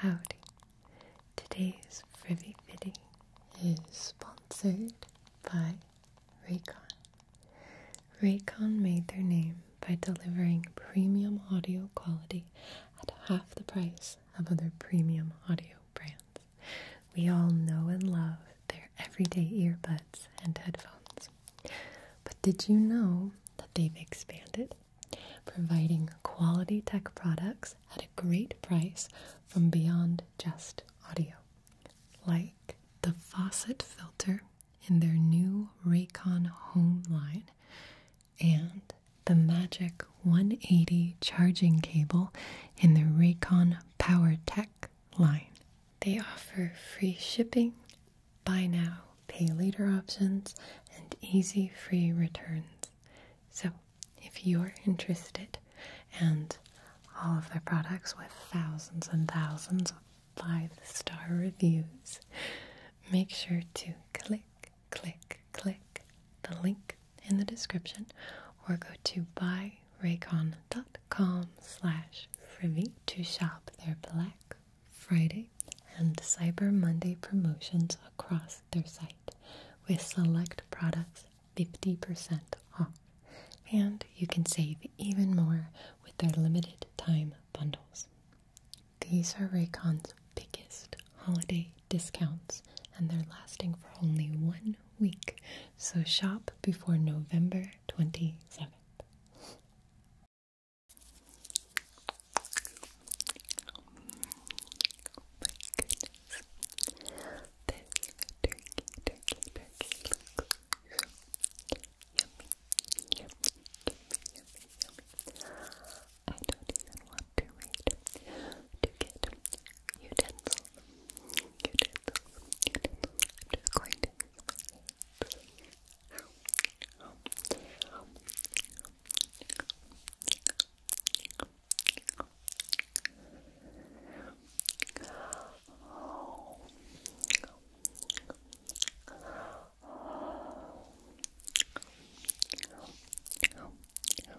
Howdy! Today's Frivy Viddy is sponsored by Raycon. Raycon made their name by delivering premium audio quality at half the price of other premium audio brands. We all know and love their everyday earbuds and headphones. But did you know that they've expanded, providing quality tech products at a great price from beyond just audio? Like the faucet filter in their new Raycon Home line and the Magic 180 charging cable in the Raycon PowerTech line. They offer free shipping, buy now, pay later options, and easy free returns. So, if you're interested, and all of their products with thousands and thousands of five star reviews, make sure to click, click, click the link in the description or go to buyraycon.com slash frivy to shop their Black Friday and Cyber Monday promotions across their site with select products 50% off. And you can save even more with their limited time bundles. These are Raycon's biggest holiday discounts, and they're lasting for only one week. So shop before November 27th want to read to get utensils. Utensils. Utensils. I'm just going to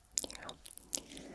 Yum, yum, yum.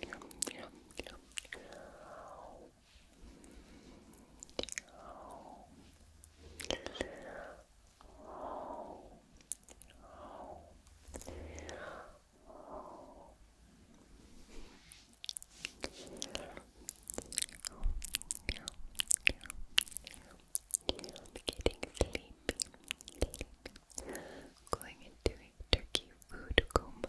Getting sleepy, Going into a turkey food coma.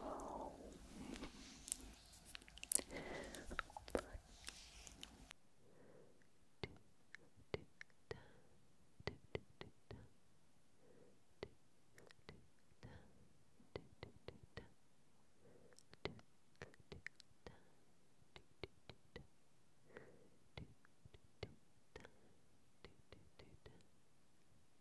Oh. One. Two, two, two, two, two, two.